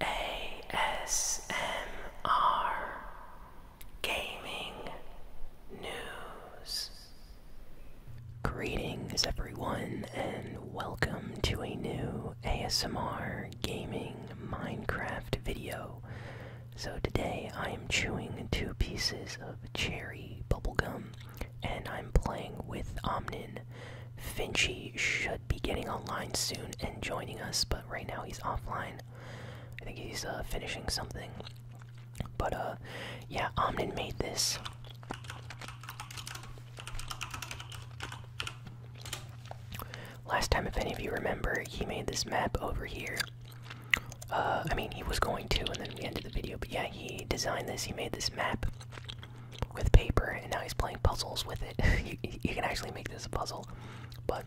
ASMR Gaming News. Greetings, everyone, and welcome to a new ASMR Gaming Minecraft video. So, today I am chewing two pieces of cherry bubblegum and I'm playing with Omnin. Finchie should be getting online soon and joining us, but right now he's offline. I think he's uh, finishing something. But uh, yeah, Omnin made this. Last time, if any of you remember, he made this map over here. Uh, I mean, he was going to, and then we ended the video. But yeah, he designed this. He made this map with paper, and now he's playing puzzles with it. you, can actually make this a puzzle, but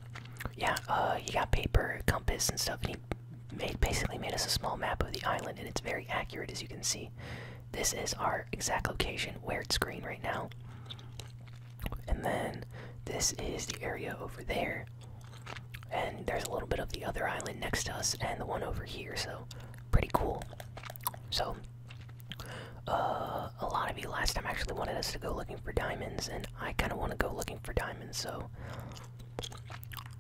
yeah, uh, he got paper, compass, and stuff, and he made basically made us a small map of the island, and it's very accurate as you can see. This is our exact location where it's green right now, and then this is the area over there, and there's a little bit of the other island next to us, and the one over here. So pretty cool. So uh, a lot of you last time actually wanted us to go looking for diamonds, and I kind of want to go looking for diamonds, so.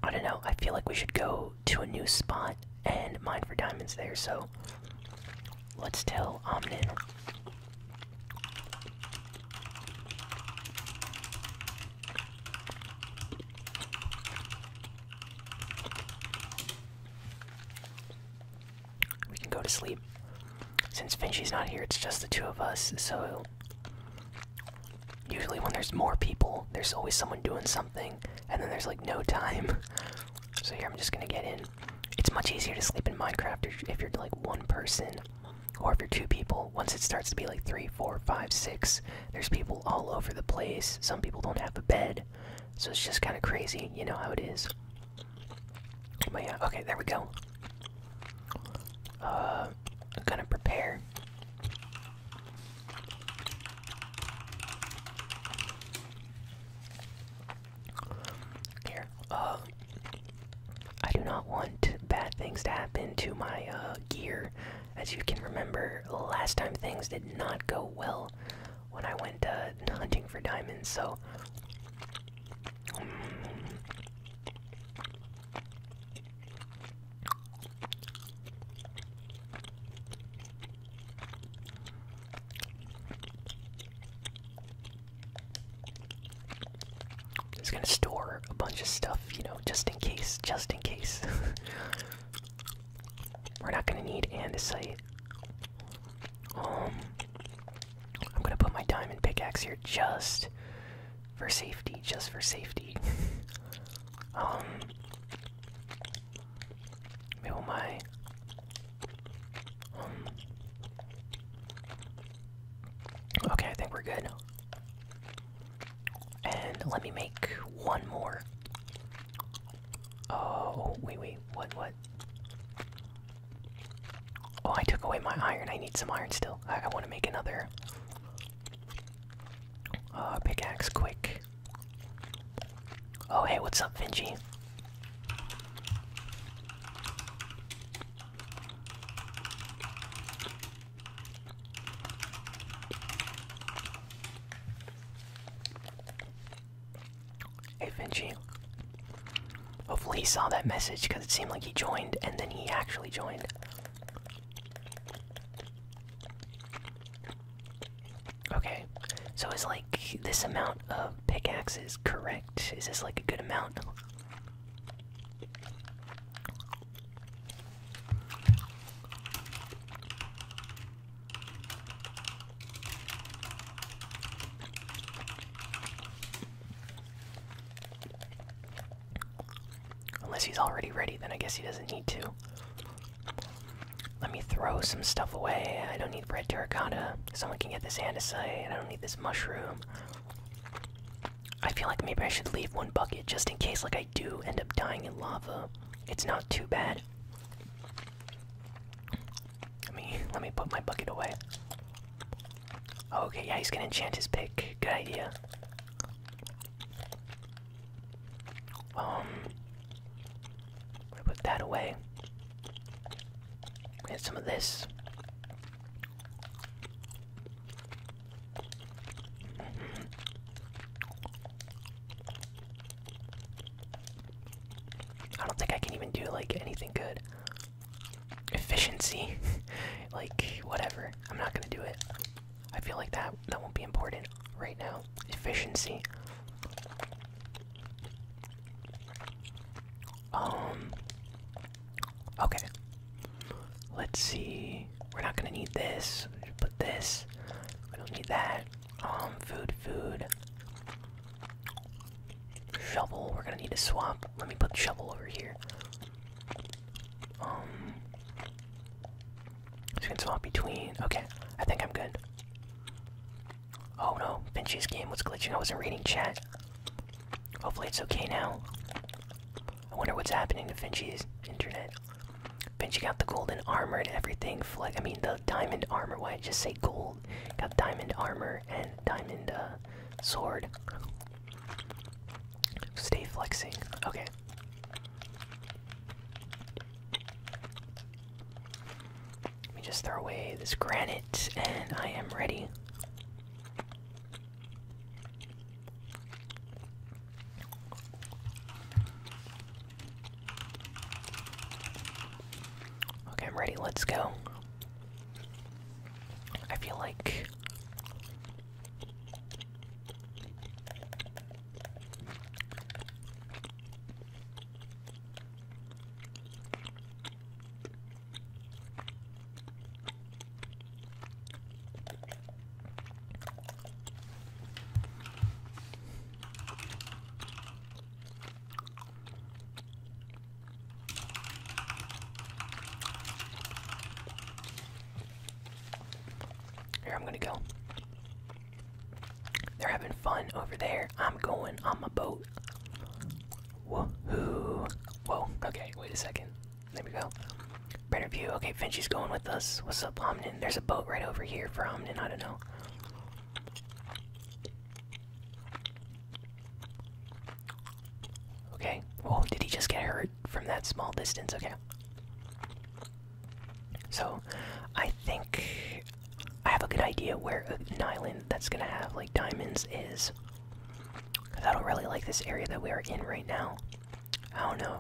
I don't know, I feel like we should go to a new spot and mine for diamonds there, so. Let's tell Omnin we can go to sleep. Since Finchie's not here, it's just the two of us, so usually when there's more people, there's always someone doing something, and then there's like no time. So here I'm just gonna get in. It's much easier to sleep in Minecraft if you're like one person, or if you're two people. Once it starts to be like three, four, five, six, there's people all over the place. Some people don't have a bed, so it's just kind of crazy. You know how it is. But yeah, okay, there we go. Uh, I'm gonna prepare. Here, uh, I do not want bad things to happen to my uh, gear. As you can remember, last time things did not go well when I went uh, hunting for diamonds. So. it's gonna store a bunch of stuff, you know, just in case, just in case. We're not gonna need andesite. Um, I'm gonna put my diamond pickaxe here just for safety, just for safety. um, maybe my um. Okay, I think we're good. And let me make one more. Oh, wait, wait, what, what? Oh, I took away my iron. I need some iron still. I, want to make another uh, pickaxe quick. Oh, hey, what's up, Finji? Hey Vinci. Hopefully he saw that message because it seemed like he joined and then he actually joined. Okay, so is like this amount of pickaxes correct? Is this like a good amount? Unless he's already ready, then I guess he doesn't need to. Let me throw some stuff away. I don't need red terracotta. Someone can get this andesite. I don't need this mushroom. I feel like maybe I should leave one bucket just in case, like I do end up dying in lava. It's not too bad. Let me let me put my bucket away. Oh, okay, yeah, he's gonna enchant his pick. Good idea. Um, put that away. We have some of this. I don't think I can even do like anything good. Efficiency, like whatever. I'm not gonna do it. I feel like that that won't be important right now. Efficiency. Um. Okay. Let's see. We're not gonna need this. Put this. I don't need that. Um. Food. Food. Shovel, we're gonna need to swap. Let me put shovel over here. Um so we can swap between okay, I think I'm good. Oh no, Finch's game was glitching. I wasn't reading chat. Hopefully it's okay now. I wonder what's happening to Finch's internet. Finch got the golden armor and everything. Fle I mean the diamond armor. Why just say gold? Got diamond armor and diamond uh, sword. Stay flexing. Okay. Let me just throw away this granite, and I am ready. Okay, I'm ready. Let's go. I feel like here, I'm gonna go. They're having fun over there. I'm going on my boat. Woohoo! Whoa, okay, wait a second. There we go. Better view. Okay, Finchie's going with us. What's up, Omnin? There's a boat right over here from. Omnin. I don't know. Okay. Well, oh, did he just get hurt from that small distance? Okay. So, I think I have a good idea where an island that's gonna have like diamonds is. Cause I don't really like this area that we are in right now. I don't know.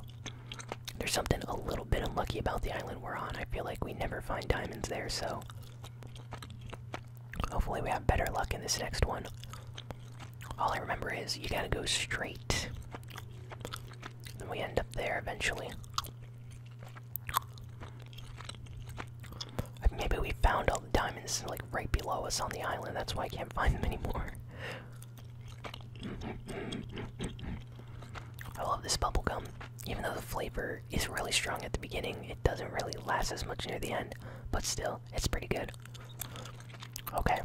There's something a little bit unlucky about the island we're on. I feel like we never find diamonds there, so Hopefully, we have better luck in this next one. All I remember is you gotta go straight. and we end up there eventually. Maybe we found all the diamonds like right below us on the island. That's why I can't find them anymore. I love this bubble gum, Even though the flavor is really strong at the beginning. It doesn't really last as much near the end, but still, it's pretty good. Okay.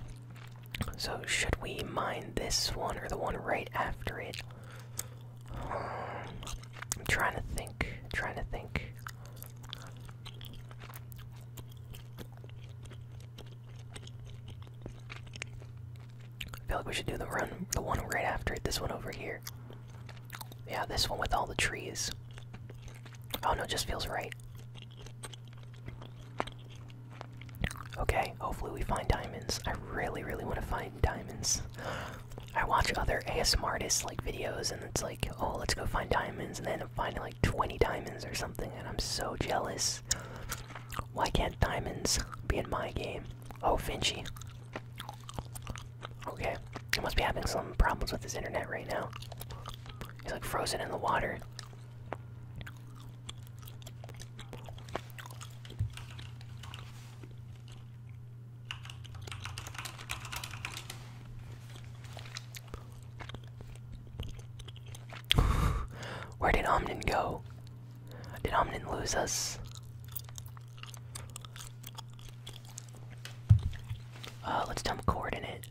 So, should we mine this one or the one right after it? I'm trying to think. i trying to think. I feel like we should do the run, the one right after it. This one over here. Yeah, this one with all the trees. Oh no, it just feels right. Okay, hopefully we find diamonds. I really, really want to find diamonds. I watch other ASM artists like videos and it's like, oh, let's go find diamonds, and then I'm finding like 20 diamonds or something, and I'm so jealous. Why can't diamonds be in my game? Oh, Finchy. Okay, he must be having some problems with his internet right now. He's like frozen in the water. Where did Omnin go? Did Omnin lose us? Uh, let's dump coordinate.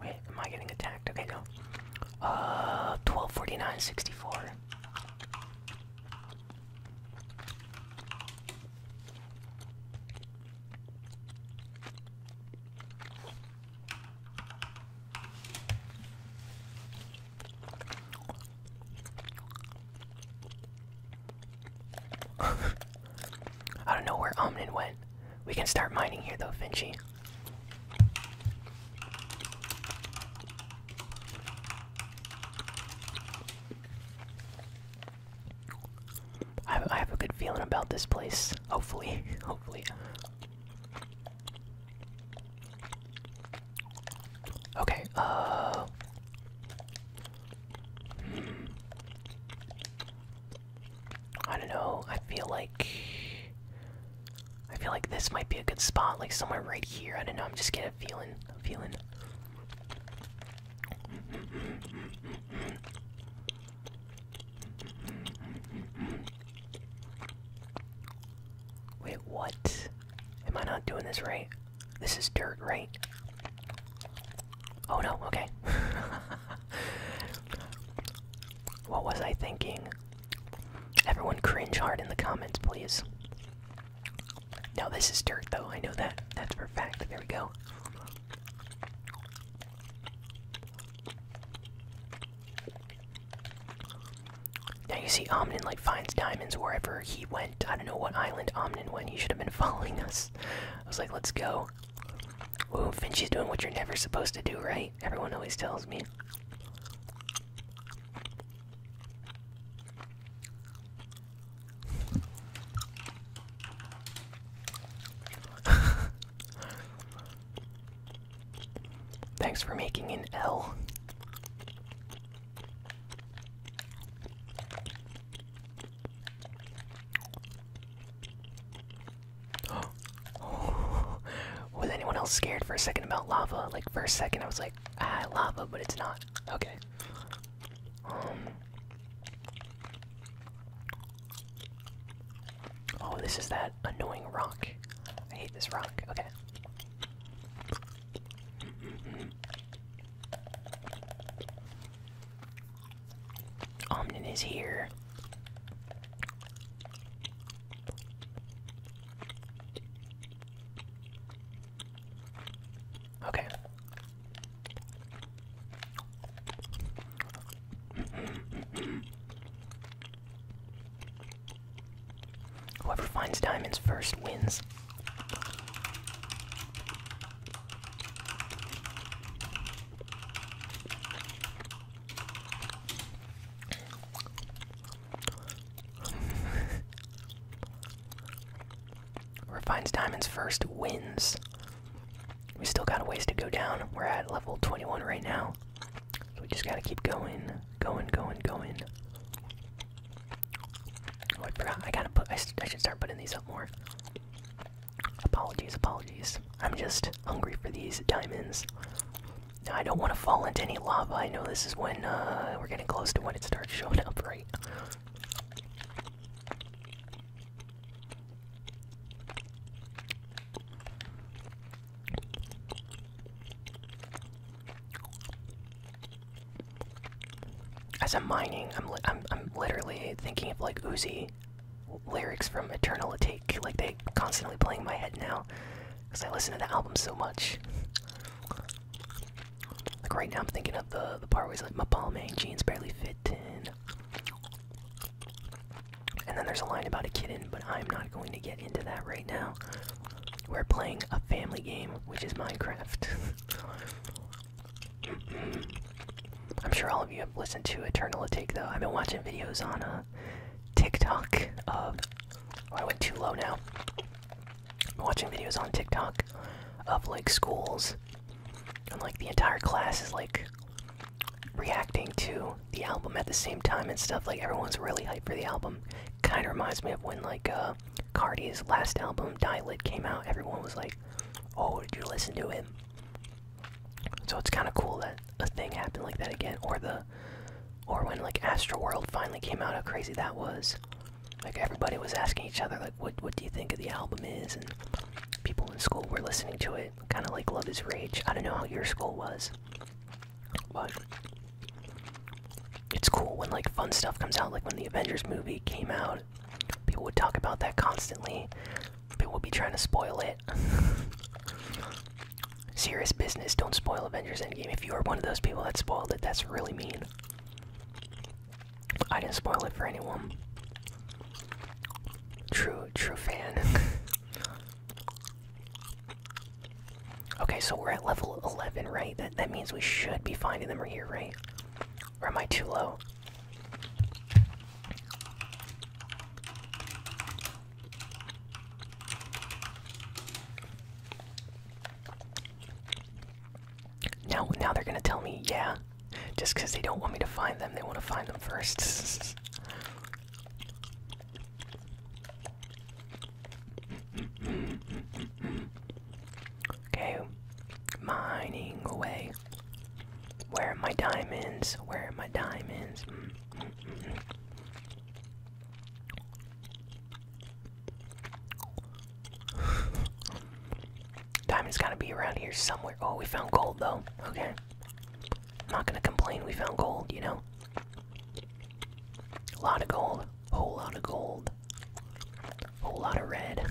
Wait, am I getting attacked? Okay, no. Uh, 1249, 64. I don't know where Omnin went. We can start mining here though, Finchy. I have a good feeling about this place. Hopefully, hopefully. Okay, uh. Hmm. I don't know. I feel like. I feel like this might be a good spot, like somewhere right here. I don't know. I'm just getting a feeling. feeling. Wait, what? Am I not doing this right? This is dirt, right? Oh no, okay. what was I thinking? Everyone cringe hard in the comments, please. No, this is dirt though, I know that. That's for fact. There we go. Now you see Omnin like finds diamonds wherever he went. I don't know what island Omnin went. He should have been following us. I was like, let's go. Ooh, is doing what you're never supposed to do, right? Everyone always tells me. Thanks for making an L. Was anyone else scared for a second about lava? Like, for a second, I was like, ah, lava, but it's not. Okay. Um, oh, this is that annoying rock. I hate this rock. Okay. Omnin is here. Okay. Whoever finds diamonds first wins. Whoever finds diamonds first wins. We still got a ways to go down. We're at level 21 right now. So we just gotta keep going, going, going, going. Oh, I forgot. I gotta put. I, should start putting these up more. Apologies, apologies. I'm just hungry for these diamonds. I don't want to fall into any lava. I know this is when uh, we're getting close to when it starts showing up, right? As I'm mining, I'm I'm I'm literally thinking of like Uzi lyrics from Eternal Take. Like they constantly playing my head now, because I listen to the album so much. Like right now, I'm thinking of the the part where he's like, "My ball man jeans barely fit in." And then there's a line about a kitten, but I'm not going to get into that right now. We're playing a family game, which is Minecraft. I'm sure all of you have listened to Eternal Attack, though. I've been watching videos on uh, TikTok of. Oh, I went too low now. watching videos on TikTok of like schools, and like the entire class is like reacting to the album at the same time and stuff. Like everyone's really hyped for the album. Kind of reminds me of when like uh, Cardi's last album, Die Lit, came out. Everyone was like, "Oh, did you listen to it?" So it's kind of cool that a thing happened like that again, or the, or when like Astroworld finally came out, how crazy that was. Like everybody was asking each other, like, "What, what do you think of the album is?" and people in school were listening to it, kind of like Love Is Rage. I don't know how your school was. But it's cool when like fun stuff comes out. Like when the Avengers movie came out, people would talk about that constantly. People would be trying to spoil it. Serious business. Don't spoil Avengers Endgame. If you are one of those people that spoiled it, that's really mean. I didn't spoil it for anyone. True, true fan. Okay, so we're at level 11, right? That, that means we should be finding them here, right? Or am I too low? Now, now they're gonna tell me, yeah, just because they don't want me to find them, they want to find them first. Okay, mining away. Where are my diamonds? Where are my diamonds? Mm, mm, mm, diamonds gotta be around here somewhere. Oh, we found gold though. Okay. I'm not gonna complain. We found gold, you know. A lot of gold. Whole lot of gold. Whole lot of red.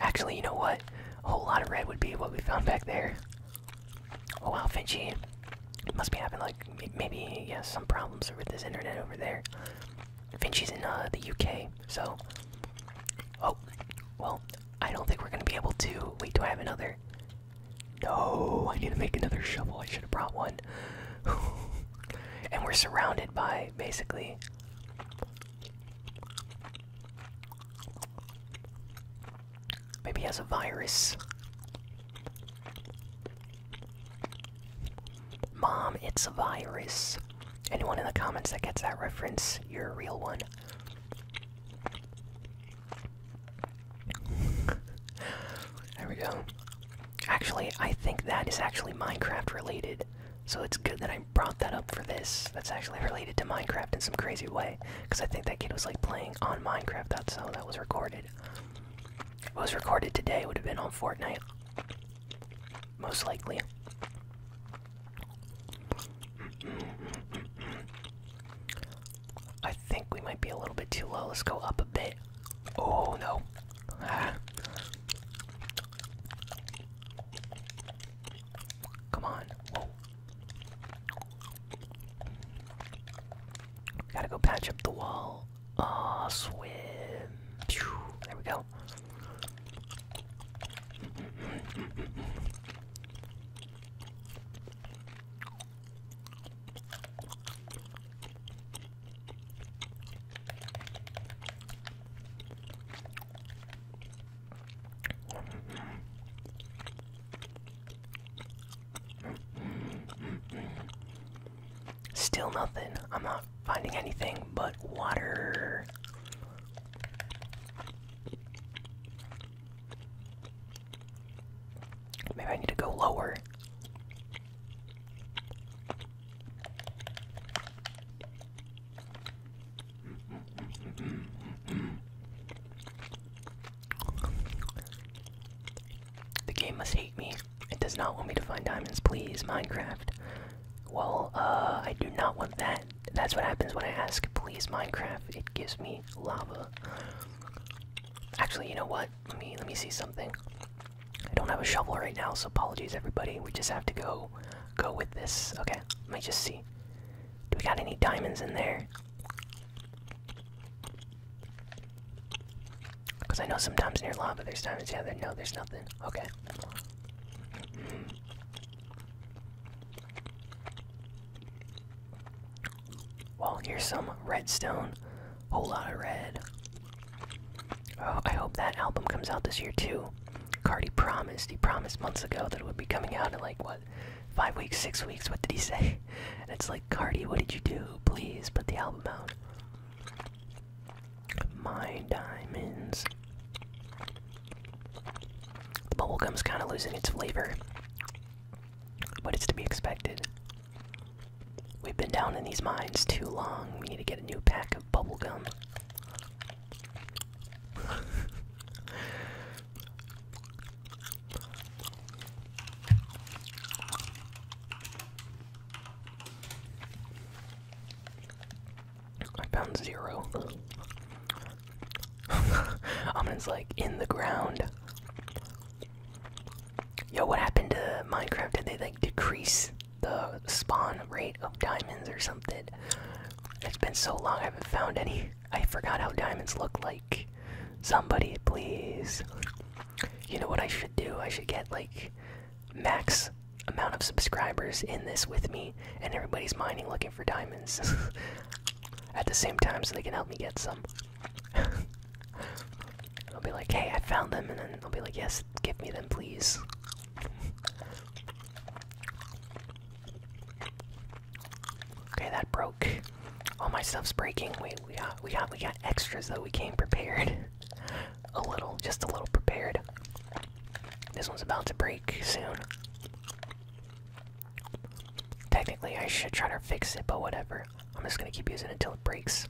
Actually, you know what? A whole lot of red would be what we found back there. Oh wow, Finchy. Must be having like maybe yeah some problems with this internet over there. Finchy's in uh, the UK, so. Oh, well, I don't think we're gonna be able to. Wait, do I have another? No, I need to make another shovel. I should have brought one. and we're surrounded by basically Maybe has a virus. Mom, it's a virus. Anyone in the comments that gets that reference, you're a real one there we go. Actually, I think that is actually Minecraft related. So it's good that I brought that up for this. That's actually related to Minecraft in some crazy way. Because I think that kid was like playing on Minecraft. That's how that was recorded. it was recorded today, would have been on Fortnite. Most likely. I think we might be a little bit too low. Let's go up a bit. Oh no. Come on. Gotta go patch up the wall. Ah, swim. There we go. Still nothing. I'm not finding anything but water. Maybe I need to go lower. The game must hate me. It does not want me to find diamonds, please, Minecraft. Well, uh, I do not want that. That's what happens when I ask, please, Minecraft. It gives me lava. Actually, you know what? Let me let me see something. I don't have a shovel right now, so apologies everybody. We just have to go go with this. Okay, let me just see. Do we got any diamonds in there? Because I know sometimes near lava there's diamonds. Yeah, there, no, there's nothing. Okay. Well, here's some redstone. a Whole lot of red. Oh, I hope that album comes out this year too. Cardi promised. He promised months ago that it would be coming out in like what, five weeks, six weeks. What did he say? it's like Cardi, what did you do? Please put the album out. My diamonds. The bubblegum's kind of losing its flavor, but it's to be expected. We've been down in these mines too long. We need to get a new pack of bubblegum. I found zero. Amin's like in the ground. Yo, what happened to Minecraft? Did they like decrease the spawn rate of diamonds or something? It's been so long I haven't found any. I forgot how diamonds look like. Somebody, please. You know what I should do? I should get like max amount of subscribers in this with me, and everybody's mining looking for diamonds at the same time so they can help me get some. I'll be like, hey, I found them, and then i will be like, yes, give me them, please. Okay, that broke. All my stuff's breaking. Wait, we got, we got, we got extras though. We came prepared. a little, just a little prepared. This one's about to break soon. Technically, I should try to fix it, but whatever. I'm just gonna keep using it until it breaks.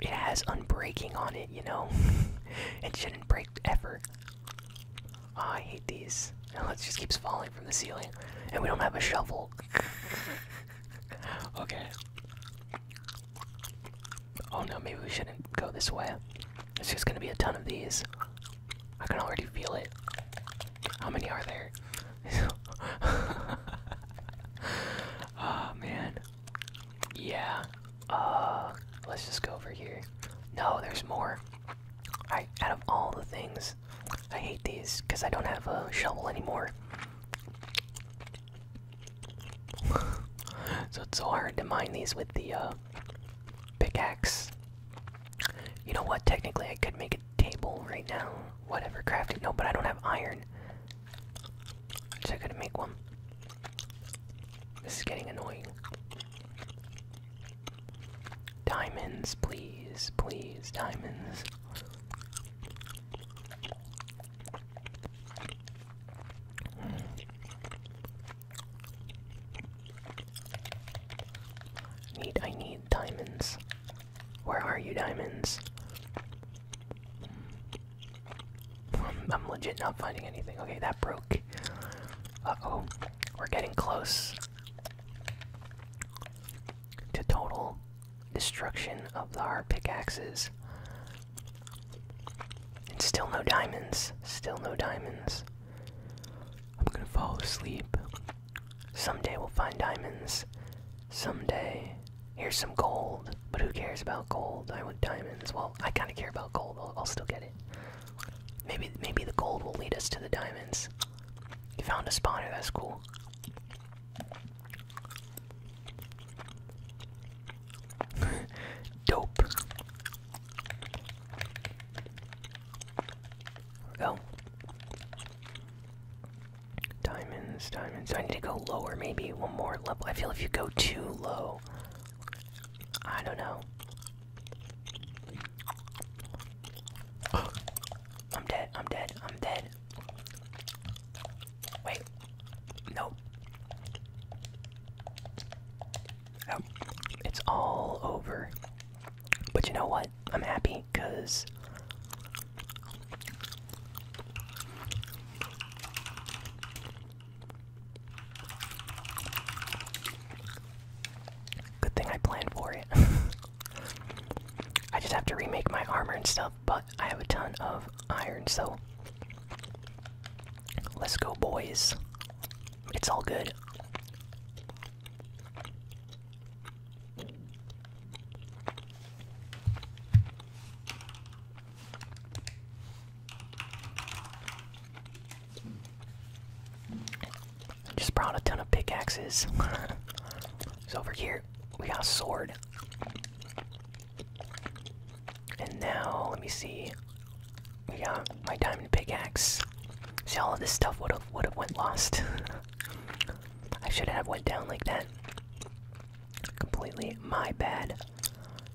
It has unbreaking on it, you know? it shouldn't break ever. Oh, I hate these. Now it just keeps falling from the ceiling. And we don't have a shovel. okay. Oh no, maybe we shouldn't go this way. It's just gonna be a ton of these. I can already feel it. How many are there? oh man. Yeah. Uh, let's just go over here. No, there's more. I out of all the things, I hate these because I don't have a shovel anymore. so it's so hard to mine these with the uh, pickaxe. You know what? Technically, I could make it table right now. Whatever, crafting. No, but I don't have iron. So I could make one. This is getting annoying. Diamonds, please, please, diamonds. Need I need diamonds. Where are you, diamonds? Um, I'm, legit not finding anything. Okay, that broke. Uh oh, we're getting close to total destruction of our pickaxes. And still no diamonds. Still no diamonds. I'm gonna fall asleep. Someday we'll find diamonds someday. Here's some gold, but who cares about gold? I want diamonds. Well, I kind of care about gold. I'll, still get it. Maybe, maybe the gold will lead us to the diamonds. You found a spawner. That's cool. Dope. Oh. Diamonds, diamonds. I need to go lower, maybe one more level. I feel if you go too low, I don't know. I'm dead, I'm dead, I'm dead. Wait. Nope. it's all over. But you know what? I'm happy because good thing I planned for it. I just have to remake my armor and stuff, but I have a ton of iron, so let's go, boys. It's all good. Just brought a ton of pickaxes. so over here, we got a sword. And now, let me see. We got my diamond pickaxe. See, all of this stuff would have would have went lost. I should have went down like that. Completely my bad.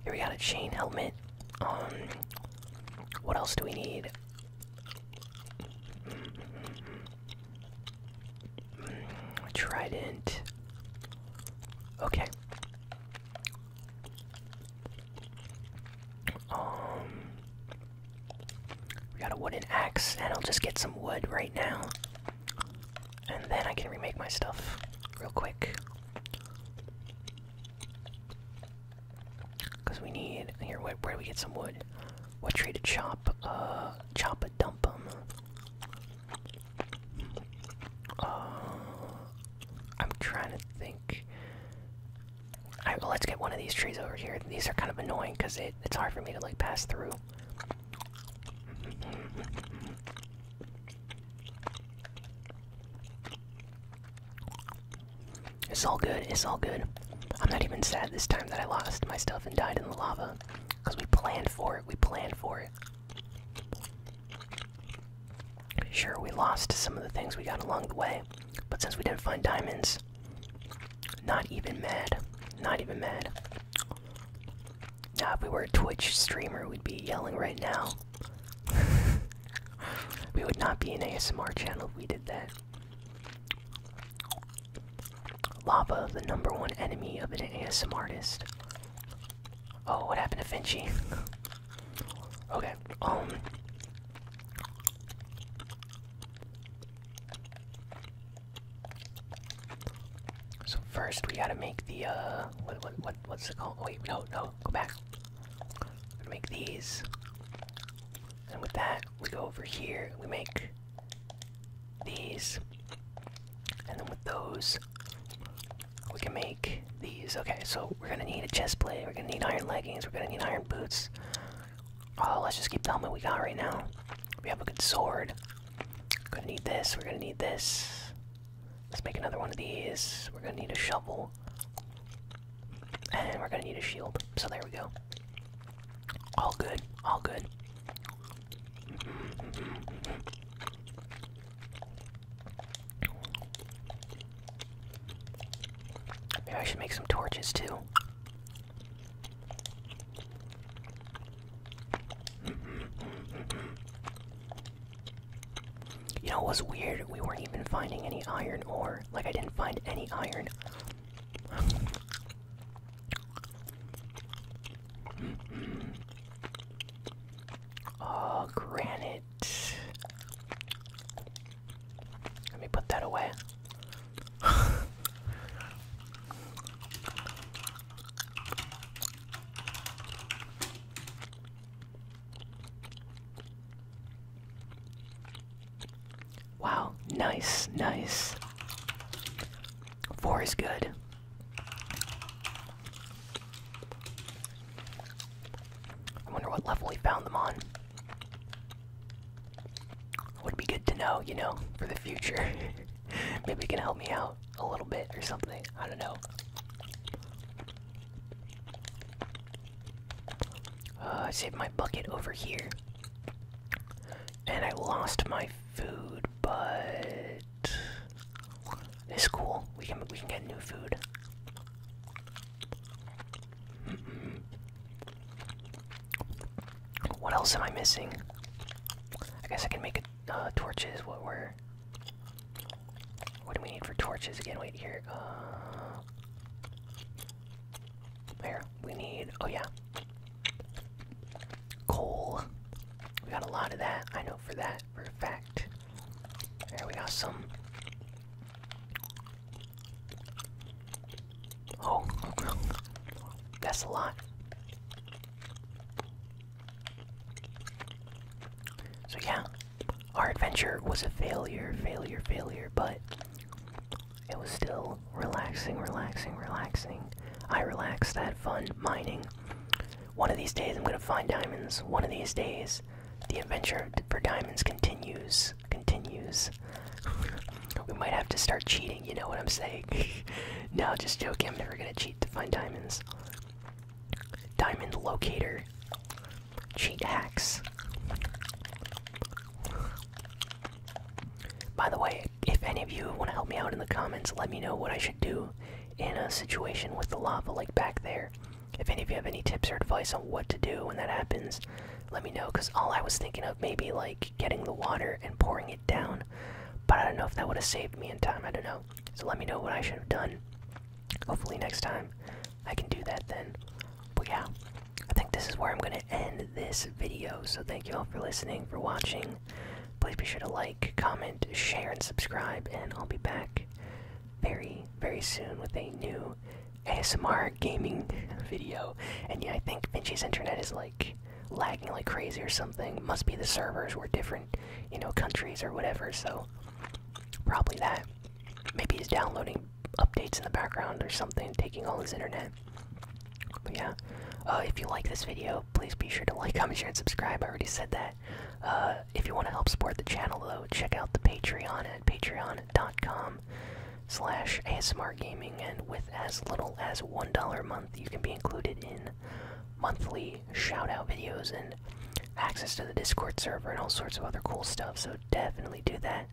Here we got a chain helmet. Um, what else do we need? Mm, trident. Okay. Um, we got a wooden axe, and I'll just get some wood right now and then I can remake my stuff real quick. Cause we need here. Where, where do we get some wood? What tree to chop? Uh, chop a dump em. Uh, I'm trying to think. Alright, well let's get one of these trees over here. These are kind of annoying because it, it's hard for me to like pass through. It's all good, it's all good. I'm not even sad this time that I lost my stuff and died in the lava. Because we planned for it, we planned for it. Sure, we lost some of the things we got along the way, but since we didn't find diamonds, not even mad. Not even mad. Now, uh, if we were a Twitch streamer, we'd be yelling right now. we would not be an ASMR channel if we did that. Lava, the number one enemy of an ASMR artist. Oh, what happened to Finchie? okay, um. So first we gotta make the uh what what what what's it called? Wait, no, no, go back. We're gonna make these. And with that, we go over here, we make these. And then with those, we can make these. Okay, so we're gonna need a chest plate, we're gonna need iron leggings, we're gonna need iron boots. Oh, let's just keep the helmet we got right now. We have a good sword. We're Gonna need this, we're gonna need this. Let's make another one of these. We're gonna need a shovel. And we're gonna need a shield. So there we go. All good, all good. Maybe I should make some torches too. You know, it was weird. We weren't even finding any iron ore. Like, I didn't find any iron. oh, granite. Let me put that away. Wow, nice, nice. Four is good. I wonder what level we found them on. Would be good to know, you know, for the future. Maybe you can help me out a little bit or something. I don't know. Uh, I saved my bucket over here. And I lost my food, but it's cool. We can we can get new food. Mm-hmm. What else am I missing? I guess I can make a, uh, torches. What were what do we need for torches again? Wait here. Uh, here we need. Oh yeah, coal. We got a lot of that. I know for that for a fact. There we got some. Oh, that's a lot. So, yeah, our adventure was a failure, failure, failure, but it was still relaxing, relaxing, relaxing. I relaxed, I had fun mining. One of these days, I'm gonna find diamonds. One of these days, the adventure for diamonds continues. Continues. we might have to start cheating, you know what I'm saying? no, just joking, I'm never gonna cheat to find diamonds. Diamond Locator, Cheat Hacks. By the way, if any of you want to help me out in the comments, let me know what I should do in a situation with the lava like back there. If any of you have any tips or advice on what to do when that happens, let me know because all I was thinking of maybe like getting the water and pouring it down, but I don't know if that would have saved me in time. I don't know. So let me know what I should have done. Hopefully next time I can do that then. But yeah, I think this is where I'm going to end this video. So thank you all for listening, for watching. Please be sure to like, comment, share, and subscribe. And I'll be back very, very soon with a new ASMR gaming video. And yeah, I think Vinci's internet is like lagging like crazy or something. Must be the servers were different you know, countries or whatever, so probably that. Maybe he's downloading updates in the background or something, taking all his internet. yeah, uh, if you like this video, please be sure to like, comment, share, and subscribe. I already said that. Uh, if you want to help support the channel, though, check out the Patreon at patreon.com slash ASMR Gaming, and with as little as $1 a month, you can be included in monthly shout out videos and access to the Discord server and all sorts of other cool stuff. So definitely do that.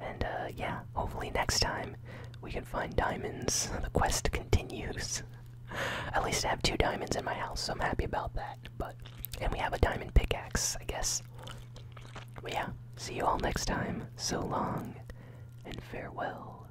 And uh, yeah, hopefully next time we can find diamonds. The quest continues. At least I have two diamonds in my house, so I'm happy about that. But and we have a diamond pickaxe, I guess. But yeah, see you all next time. So long and farewell.